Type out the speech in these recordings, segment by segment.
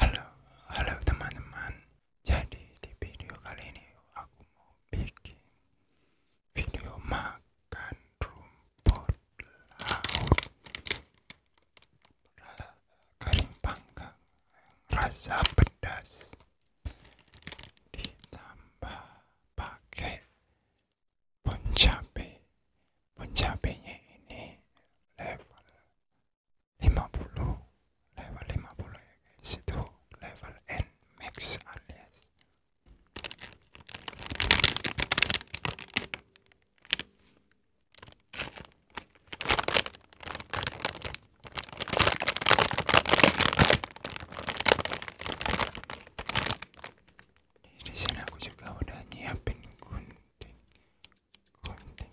Halo, halo teman-teman. Jadi di video kali ini aku mau bikin video makan rumput laut kering panggang rasa pedas ditambah paket poncabe. Poncabenya ini level lima puluh level lima puluh ya guys itu level N max alias di sini aku juga udah nyiapin gunting gunting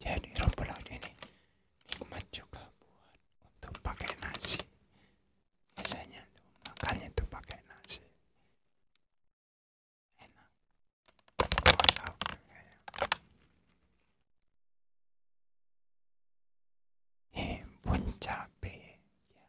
Jadi rumput laut ini nikmat juga buat untuk pakai nasi. Biasanya tuh makannya tuh pakai nasi. Enak. Rumput laut juga ya. Himpun cabai yang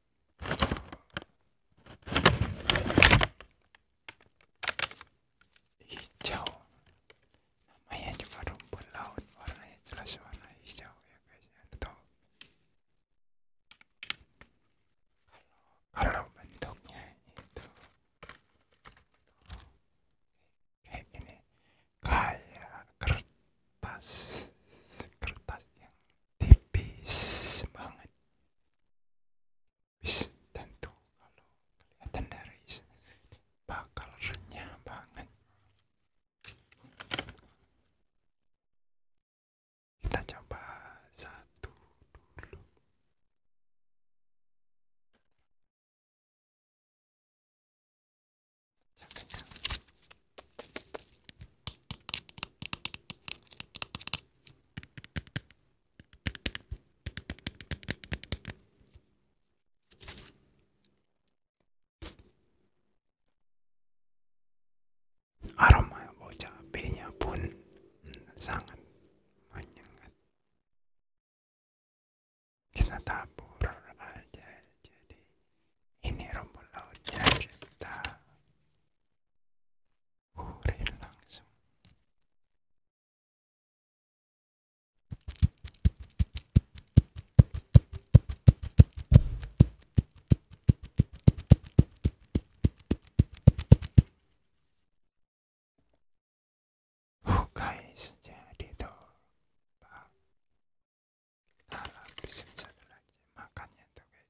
hijau namanya juga rumput laut warnanya jelas warna hijau ya guys ya tahu kalau bentuknya itu kayak gini kayak kertas kertas yang tipis banget tipis tentu kalau kelihatan dari bakal renyah banget kita coba satu dulu aromanya cabenya pun sangat menyengat kita tabur aja jadi ini rumput lautnya kita Urin langsung. Oh guys, jadi tuh Pak. Kita lapisin satu lagi makannya tuh kayak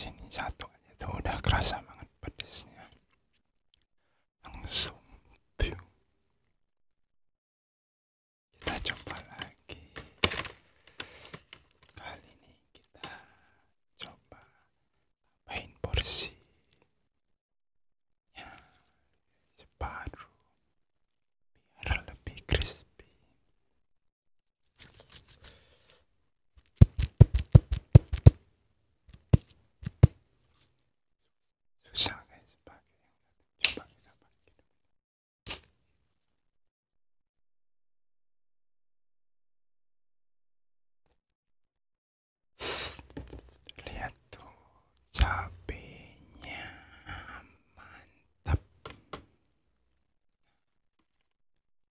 sini satu aja tuh udah kerasa banget pedesnya langsung view kita coba lagi kali ini kita coba main porsi ya separuh biar lebih crispy susah guys pakai coba kita lihat tuh cabenya mantap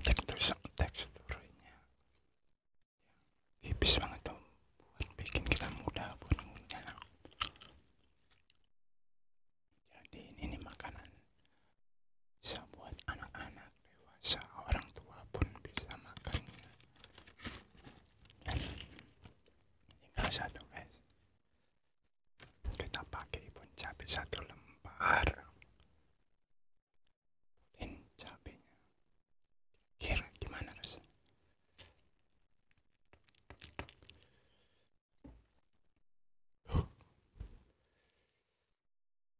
tekstur teksturnya tipis banget tuh buat bikin kita mudah punya jadi ini nih makanan bisa buat anak-anak dewasa orang tua pun bisa makannya hingga satu guys kita pakai pun cabai satu lembar dan cabenya kira gimana rasanya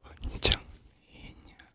panjang minyak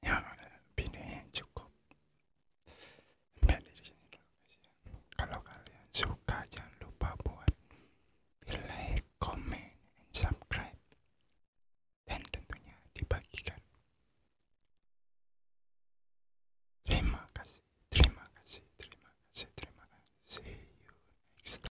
ya ini cukup sampai di kalau kalian suka jangan lupa buat like comment and subscribe dan tentunya dibagikan terima kasih terima kasih terima kasih terima kasih see you next time